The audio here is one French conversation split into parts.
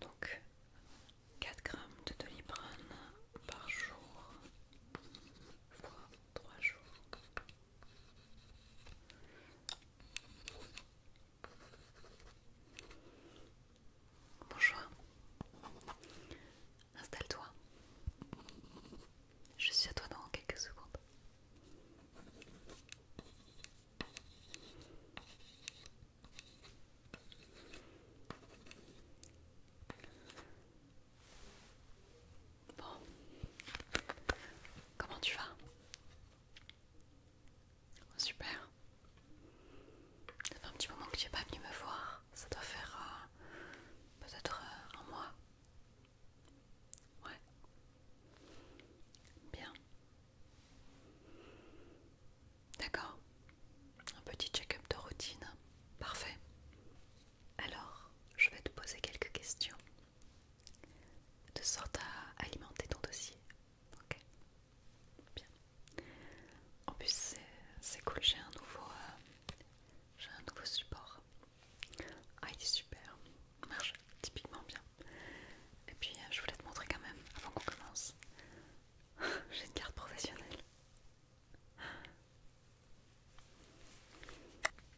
Donc 4 grammes de doliprane par jour fois 3 jours. Bonjour. Installe-toi. Je suis à toi dans quelques secondes. Bon. Comment tu vas Super. Ça fait un petit moment que tu n'es pas venu me voir. Ça doit faire euh, peut-être euh, un mois. Ouais. Bien. D'accord. Un petit check-up de routine. Parfait. Alors, je vais te poser quelques questions. De sorte à alimenter ton dossier. Ok. Bien. En plus, c'est cool, j'ai un nouveau... Euh, un nouveau support. Ah, il est super, marche typiquement bien. Et puis euh, je voulais te montrer quand même, avant qu'on commence, j'ai une carte professionnelle.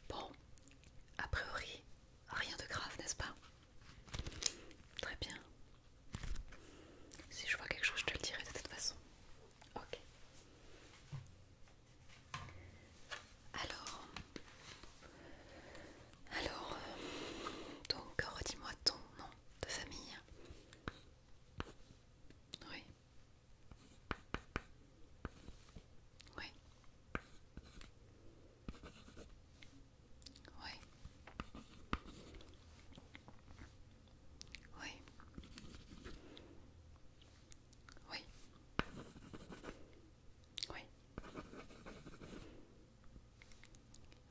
Bon, a priori, rien de grave, n'est-ce pas Très bien. Si je vois quelque chose, je te le dirai de toute façon. Ok. Alors, alors, euh, donc redis-moi ton nom de famille. Oui. Oui. Oui. Oui. Oui. Oui.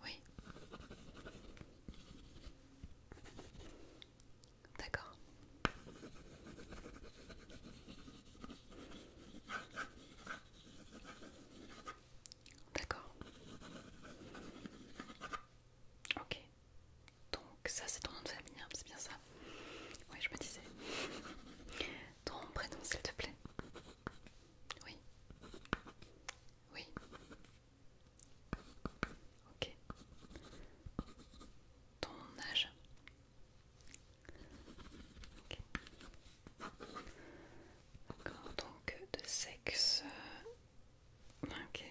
Oui. D'accord. D'accord. Ok. Donc ça c'est ton nom de famille, hein, c'est bien ça. Oui, je me disais. Ton prénom, s'il te plaît. Oui. Oui. Ok. Ton âge. Ok. donc euh, de sexe. Euh, ok.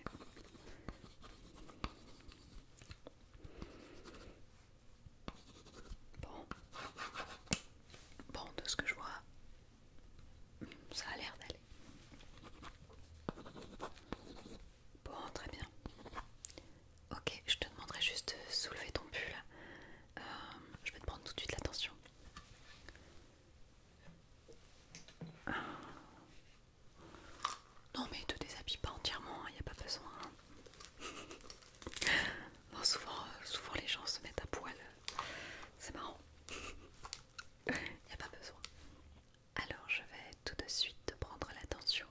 Bon. Bon, de ce que je vois, ça a l'air d'aller. Bon, très bien. Ok, je te demanderai juste de soulever ton pull. Euh, je vais te prendre tout de suite l'attention. Non mais te déshabille pas entièrement, il hein, n'y a pas besoin. Hein. Euh, souvent, les gens se mettent à poil. C'est marrant. Il n'y a pas besoin. Alors je vais tout de suite prendre la tension.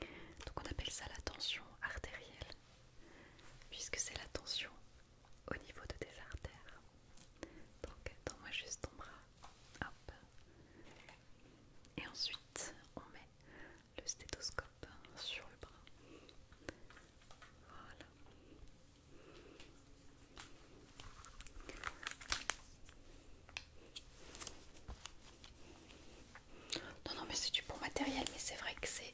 Donc on appelle ça la tension artérielle, puisque c'est la tension au niveau de tes artères. Donc attends-moi juste ton bras. Hop. Et ensuite on met le stéthoscope hein, sur le bras. Voilà. Non, non, mais c'est du bon matériel, mais c'est vrai que c'est...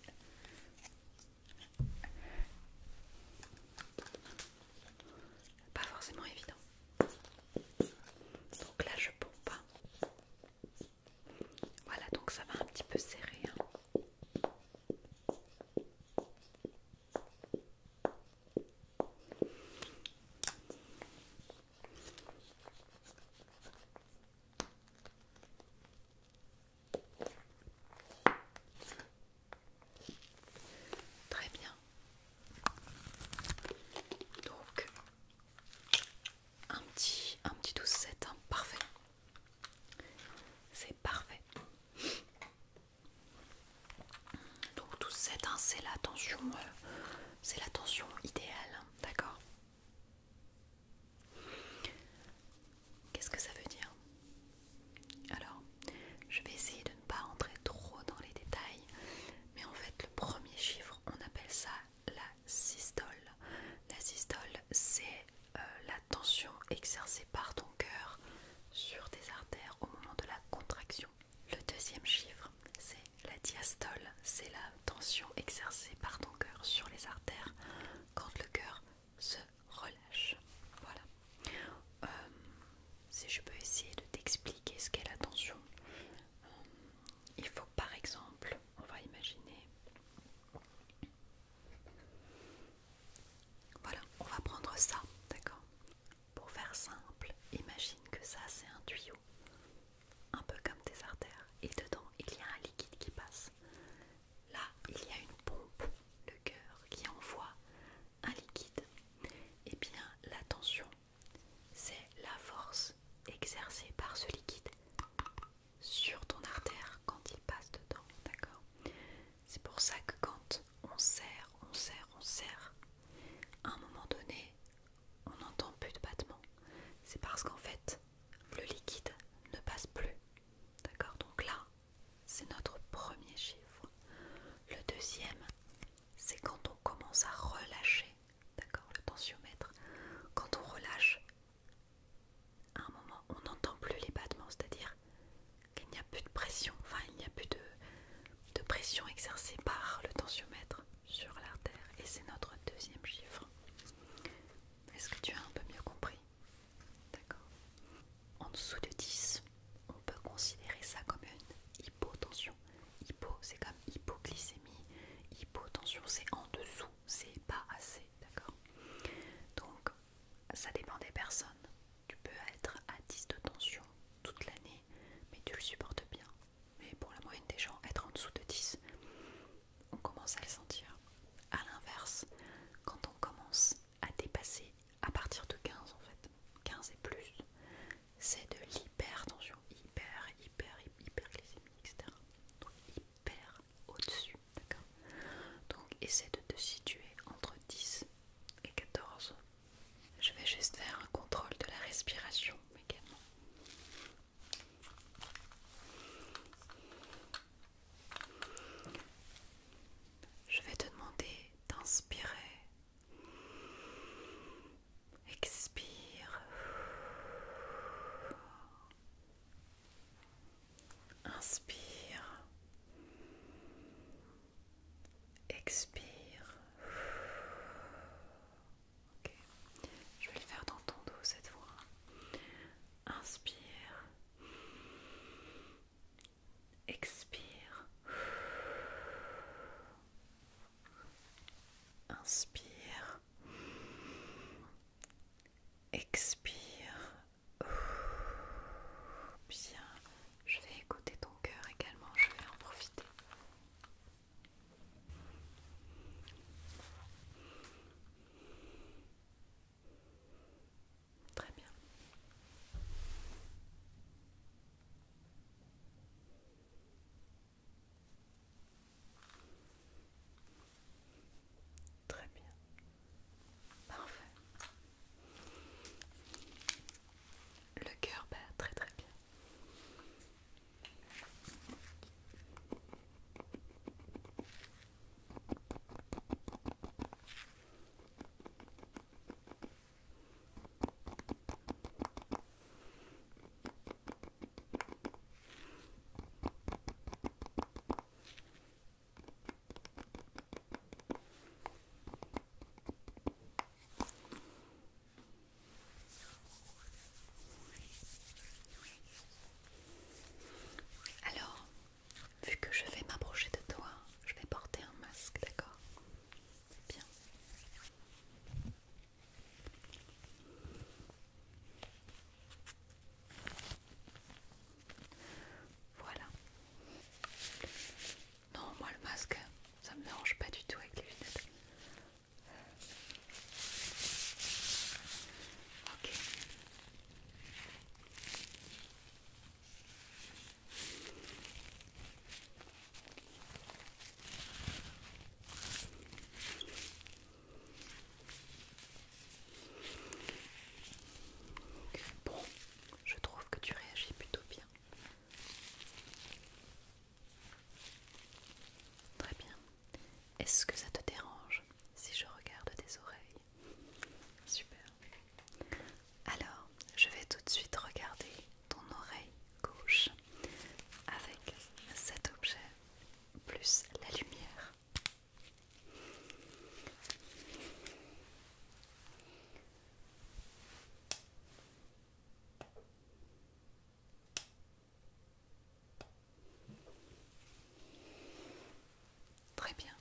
Pas forcément évident. Donc là, je pompe. pas. Hein. Voilà, donc ça va un petit peu serrer. Hein. Très bien. Donc un petit, un petit 12-7, hein. parfait. C'est parfait. Donc 12-7, hein, c'est la tension, euh, c'est la tension idéale, hein. d'accord Qu'est-ce que ça veut dire Alors, je vais essayer de ne pas entrer trop dans les détails, mais en fait, le premier chiffre, on appelle ça la systole. La systole, c'est euh, la tension exercée par ton cœur sur tes artères au moment de la contraction. Le deuxième chiffre, c'est la diastole, c'est la tension exercée par ton cœur sur les artères quand le cœur se relâche. Voilà. Euh, si je peux essayer de t'expliquer ce qu'est la tension, euh, il faut par exemple on va imaginer. Voilà, on va prendre ça, d'accord Pour faire simple, imagine que ça c'est un tuyau, un peu comme tes artères, et dedans il y a un liquide qui passe. Là, il y a une pompe, le cœur, qui envoie un liquide. Et eh bien la tension c'est la force exercée par ce liquide sur ton artère quand il passe dedans, d'accord C'est pour ça que quand on serre, on serre, on serre, à un moment donné, on n'entend plus de battement. C'est parce qu'en fait, le liquide ne passe plus, d'accord Donc là, c'est notre premier chiffre. Le deuxième, c'est quand on commence à relâcher d'accord, le tensiomètre, quand on relâche, à un moment on n'entend plus les battements, c'est-à-dire qu'il n'y a plus de pression, enfin il n'y a plus de, pression exercée par le tensiomètre sur l'artère. Et c'est notre deuxième chiffre. Est-ce que tu as un peu mieux compris D'accord. En dessous de 10, on peut considérer ça comme une hypotension. Hypo, c'est comme hypoglycémie. Hypotension, c'est en dessous, c'est pas assez, d'accord Donc, ça dépend des personnes. Tu peux être à 10 de tension toute l'année, mais tu le supportes bien. Mais pour la moyenne des gens, être en dessous de 10, on commence à le sentir. À l'inverse, quand on commence à dépasser à partir de 15 en fait, 15 et plus, c'est de l'hypertension, hyper, hyper, hyperglycémie, etc. Donc hyper au-dessus, d'accord Donc essaie de te situer entre 10 et 14. Je vais juste faire un contrôle de la respiration également. Je vais te demander d'inspirer Expire. Inspire. Expire. Je vais le faire dans ton dos cette fois. Inspire. Expire. Inspire. Expire. Bien. Je vais écouter ton cœur également. Je vais en profiter. Très bien. Très bien. Parfait. Le cœur bat très très bien. Alors, vu que je vais m'approcher de toi, je vais porter un masque, d'accord Bien. Voilà. Non, moi le masque, ça me dérange pas du tout avec les lunettes. Ok bon, je trouve que tu réagis plutôt bien. Très bien. Est-ce que ça te dérange si je regarde tes oreilles Super. Alors, je vais tout de suite regarder ton oreille gauche avec cet objet plus la lumière. Très bien.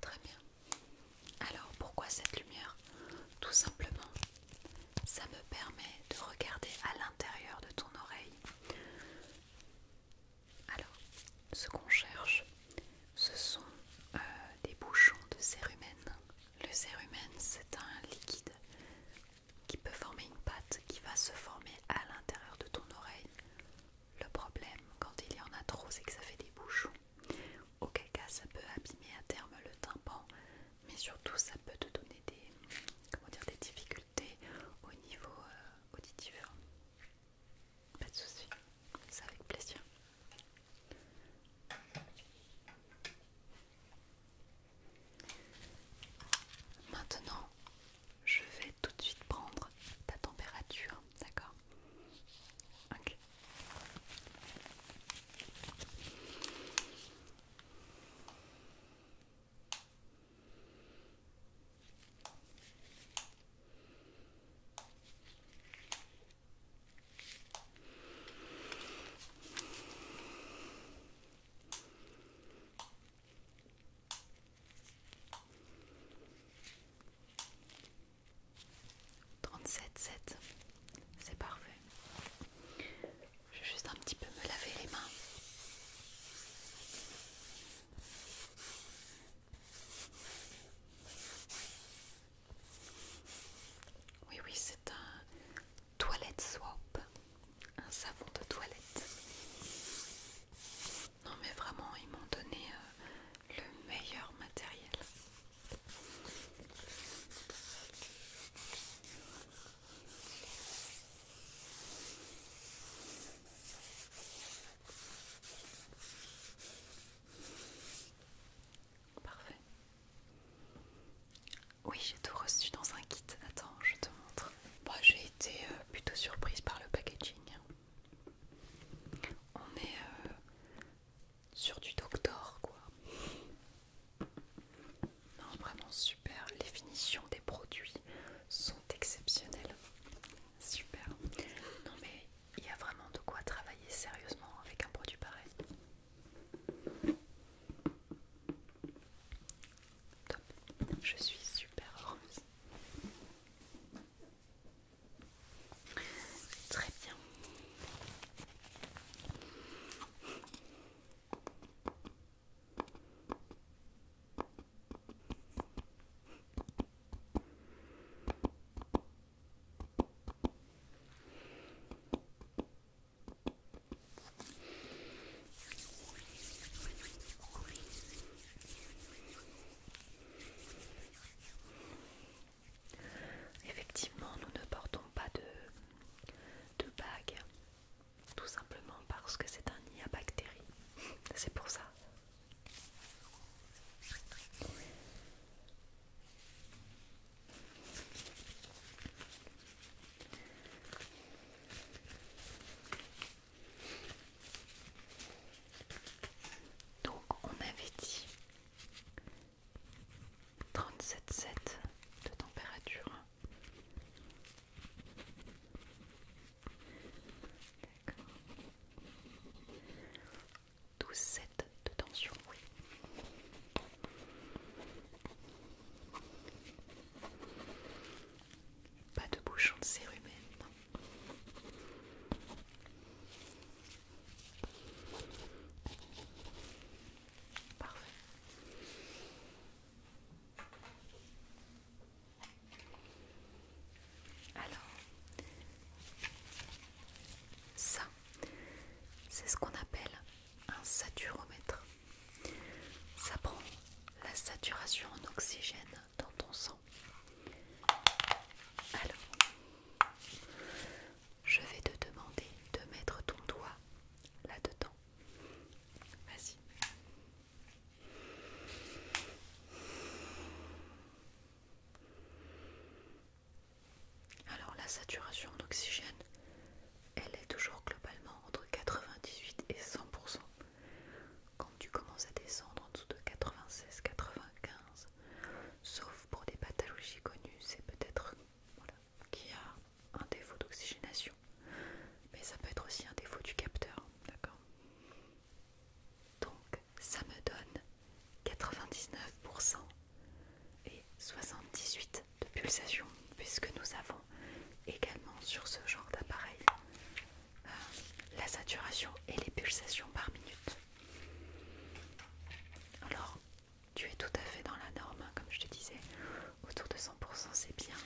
Très bien. Alors pourquoi cette lumière Tout simplement, ça me permet de regarder à l'intérieur de ton oreille. Alors, ce qu'on cherche, ce sont euh, des bouchons de cérumen. Le cérumen, c'est un liquide qui peut former une pâte qui va se former à l'intérieur de ton oreille. Le problème, quand il y en a trop, c'est que ça fait des bouchons. Auquel cas, ça peut abîmer à terme le tympan, mais surtout, ça peut te donner des, comment dire, des difficultés au niveau euh, auditif. Pas de souci, c'est avec plaisir. Maintenant, je vais tout de suite prendre ta température, d'accord 37,7 c'est parfait. Je vais juste un petit peu me laver les mains. Oui, oui, c'est un, Toilette Swap, un savon de toilette. Non mais vraiment, ils m'ont donné euh, le meilleur matériel. Parfait. Oui, j'ai tout reçu dans un kit. Attends, je te montre. Moi, bah, j'ai été euh, plutôt surprise par le packaging. On est euh, sur du Doctor, quoi. Non, vraiment super. Les finitions des produits sont exceptionnelles. Super. Non, mais il y a vraiment de quoi travailler sérieusement avec un produit pareil. Je suis super heureuse. Très bien. Effectivement, nous ne portons pas de, de bague, tout simplement parce que c'est un nid à bactéries. C'est pour ça. Donc on m'avait dit 37,7 de température. 12 12,7 de tension, oui. Pas de bouchon de cérumen. Parfait. Alors, ça, c'est ce qu'on appelle un saturomètre. Ça prend la saturation en oxygène dans ton sang. Alors, je vais te demander de mettre ton doigt là-dedans. Vas-y. Alors la saturation en oxygène, elle est toujours globalement entre 98 et 100%. Quand tu commences à descendre en dessous de 96-95, sauf pour des pathologies connues, c'est peut-être qu'il y a un défaut d'oxygénation. Mais ça peut être aussi un défaut du capteur, d'accord Donc ça me donne 99% et 78 de pulsations puisque nous avons également sur ce genre d'appareil euh, la saturation et les pulsations par minute. Alors tu es tout à fait dans la norme, hein, comme je te disais, autour de 100% c'est bien.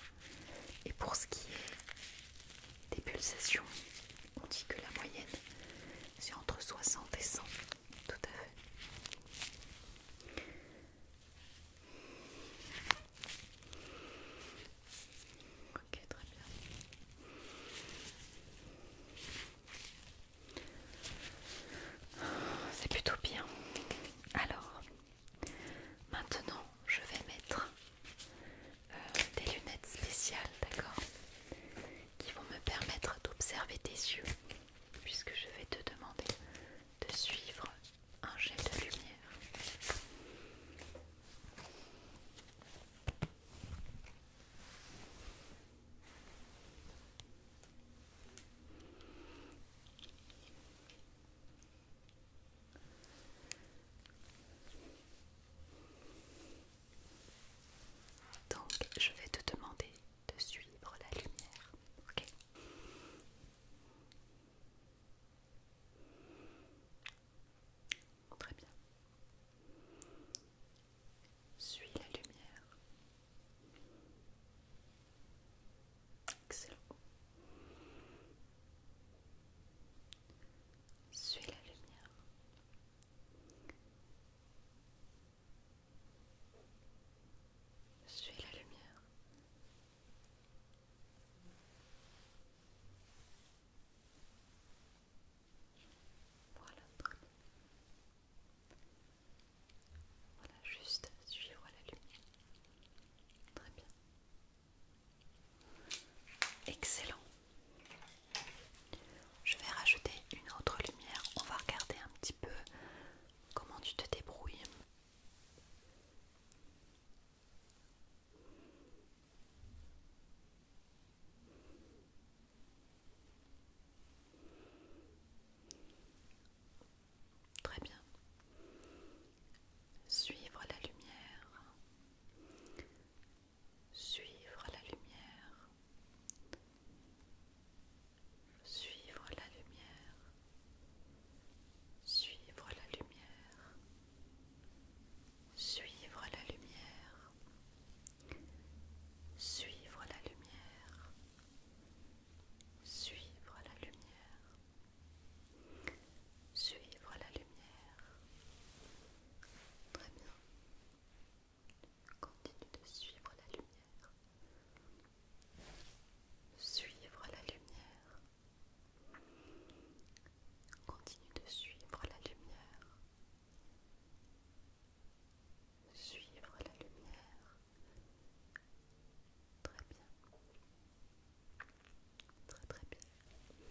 Et pour ce qui est des pulsations, on dit que la moyenne c'est entre 60 et 100 tout à fait. Ok, très bien. C'est plutôt bien. Alors, maintenant, je vais mettre euh, des lunettes spéciales, d'accord Qui vont me permettre d'observer tes yeux puisque je vais te demander de suivre un jet de lumière. Donc, je vais te demander de suivre la lumière. OK Très bien. Suis la lumière. Excellent. Suis la lumière. Suis la lumière. Voilà. Voilà, juste suivre la lumière. Très bien. Excellent. Je vais rajouter une autre lumière. On va regarder un petit peu Comment tu te débrouilles Très bien. Suivre la lumière. Suivre la lumière. Suivre la lumière. Suivre la lumière. Suivre la lumière. Suivre la lumière. Suivre la lumière. Suivre la lumière. Très bien continue de suivre la lumière. Suivre la lumière. Continue de suivre la lumière. Suivre la lumière. Très bien. Très très bien. Très bien.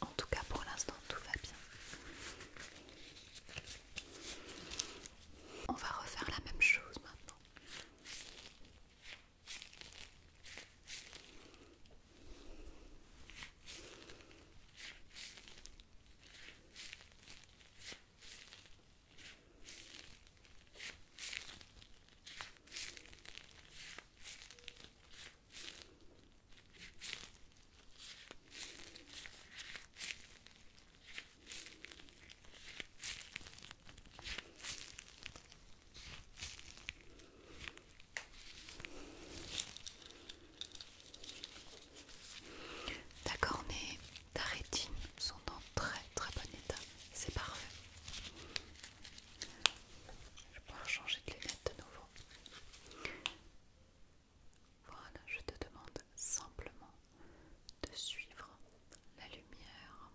En tout cas, pour l'instant, tout va bien. On va refaire la même chose maintenant. Ta cornée, ta rétine sont en très très bon état, c'est parfait. Je vais pouvoir changer de lunettes de nouveau. Voilà, je te demande simplement de suivre la lumière,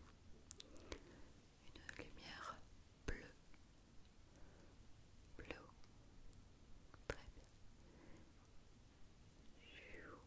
une lumière bleue, Bleu très bien.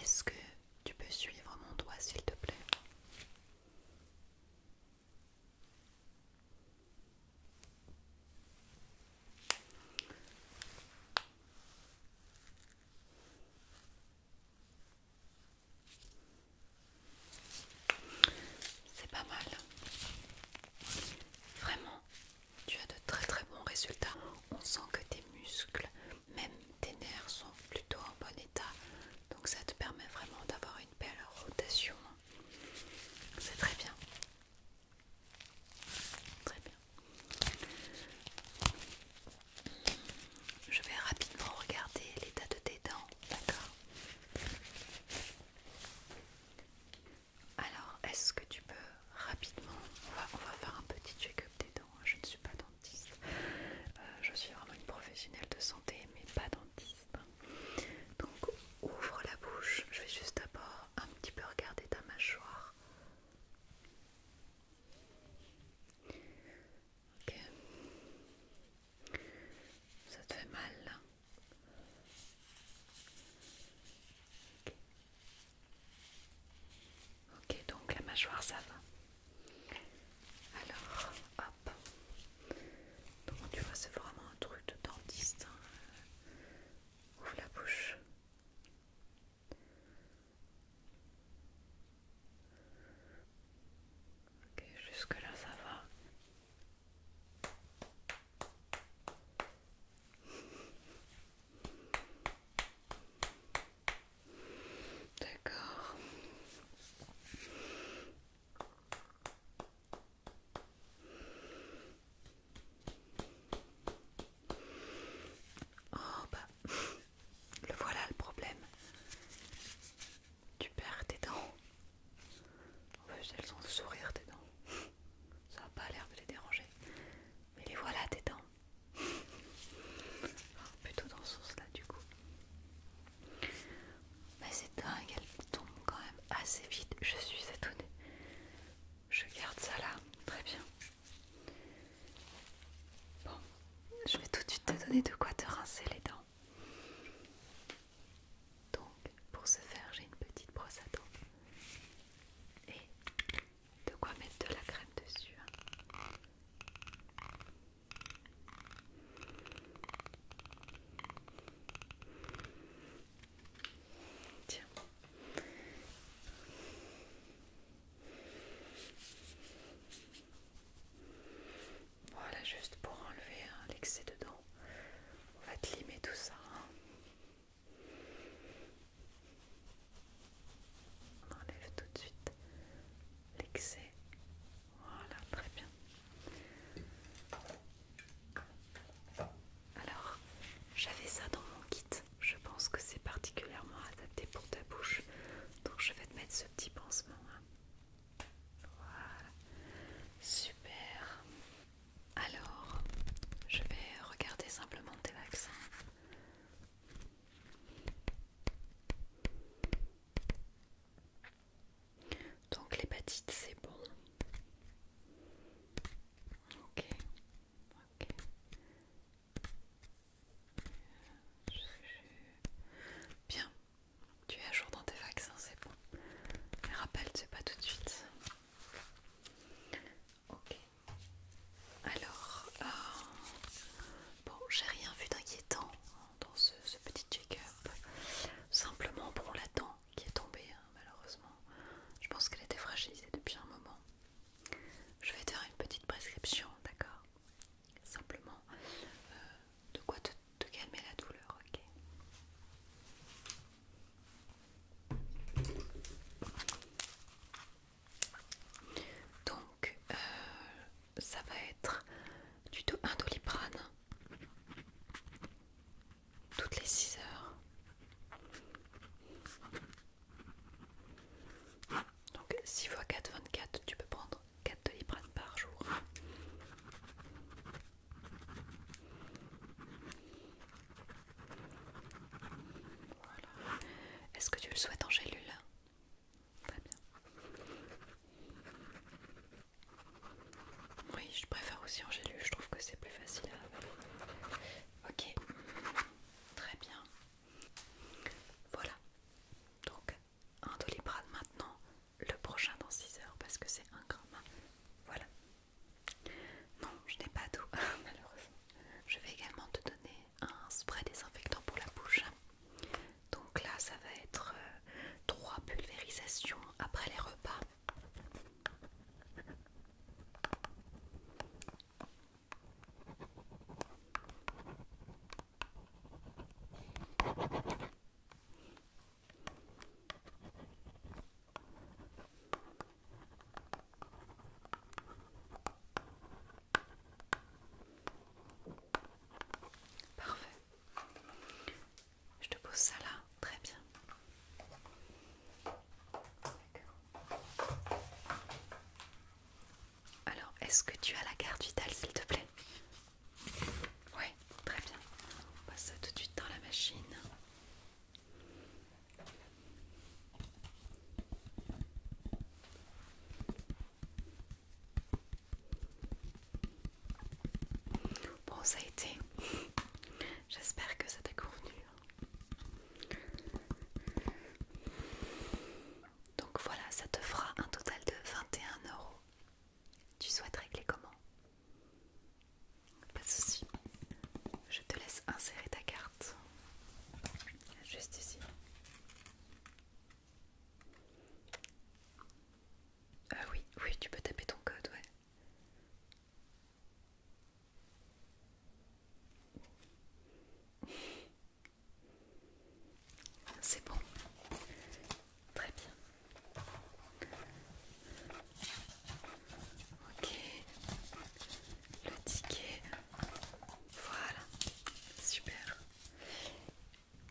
Est-ce que tu peux suivre mon doigt s'il te plaît C'est pas mal. Vraiment, tu as de très très bons résultats. On sent que tes muscles même tes nerfs sont plutôt en bon état. Donc ça te permet vraiment d'avoir une belle rotation. C'est très bien. Très bien. Je vais rapidement regarder l'état de tes dents, d'accord Alors, est-ce que tu peux rapidement, on va, faire un petit check-up des dents. Je ne suis pas dentiste, euh, je suis vraiment une professionnelle de santé, mais pas dentiste. Donc, ouvre la bouche. Je vais juste d'abord un petit peu regarder ta mâchoire. Ok. Ça te fait mal là Ok, donc la mâchoire ça va. Alors, hop. Donc tu vois, c'est vraiment un truc de dentiste. Hein. Ouvre la bouche. Ok, jusque là ça va. D'accord. Oh bah, le voilà le problème. Tu perds tes dents. En fait elles ont le sourire tes dents. Ça n'a pas l'air de les déranger. Mais les voilà tes dents. Plutôt dans ce sens-là, du coup. Mais c'est dingue, elle tombe quand même assez vite. Je suis étonnée. Je garde ça là. Très bien. Bon, je vais tout de suite te donner de quoi te rincer les dents. Donc, pour ce faire, j'ai une petite brosse à dents. Et de quoi mettre de la crème dessus. Hein. Tiens. Voilà, juste pour enlever hein, l'excès dedans, on va te limer tout ça. Hein. On enlève tout de suite l'excès. Voilà, très bien. Alors, j'avais ça dans mon kit. Je pense que c'est particulièrement adapté pour ta bouche. Donc, je vais te mettre ce petit pansement. Hein. Voilà. Super. Alors, je vais regarder simplement tes vaccins. Donc l'hépatite c'est bon. Ok. Ok. Euh, bien. Tu es à jour dans tes vaccins, c'est bon. rappelle, c'est pas tout de suite. Ok. Alors, euh, bon, j'ai rien vu d'inquiétant dans ce, petit check-up. Simplement, pour la dent qui est tombée, hein, malheureusement. Je pense qu'elle était fragilisée depuis un moment. Je vais te faire une petite prescription, d'accord Simplement, euh, de quoi te calmer la douleur, ok donc, euh, ça va être du tout un doliprane toutes les 6 heures. Donc 6 x 4, 24, tu peux prendre 4 doliprane par jour. Voilà. Est-ce que tu le souhaites en gélule Très bien. Oui, je préfère aussi en gélule, je trouve que c'est plus facile à... Ok, très bien. Voilà. Donc, un bras maintenant, le prochain dans 6 heures parce que c'est un gramme. Voilà. Non, je n'ai pas tout, malheureusement. Je vais également te donner un spray désinfectant pour la bouche. Donc là, ça va être euh, trois pulvérisations après les repas. Parfait. Je te pose ça là, très bien. Alors, est-ce que tu as la carte vitale, s'il te plaît Oui, très bien. On passe ça tout de suite dans la machine. Bon, ça a été. J'espère que ça t'a convenu. Donc voilà, ça te fera un total de 21 euros. Tu souhaites régler comment Pas de soucis je te laisse insérer ta carte juste ici. Ah oui, oui, tu peux taper ton code, ouais. C'est bon. Très bien. Ok, le ticket. Voilà, super.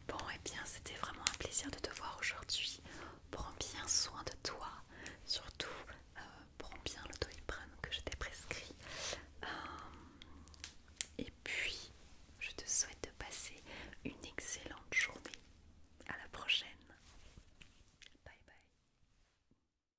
Bon, et eh bien, c'était vraiment un plaisir de te voir aujourd'hui. Prends bien soin de toi, surtout euh, prends bien le que je t'ai prescrit. Euh, et puis, je te souhaite de passer une excellente journée. À la prochaine. Bye bye.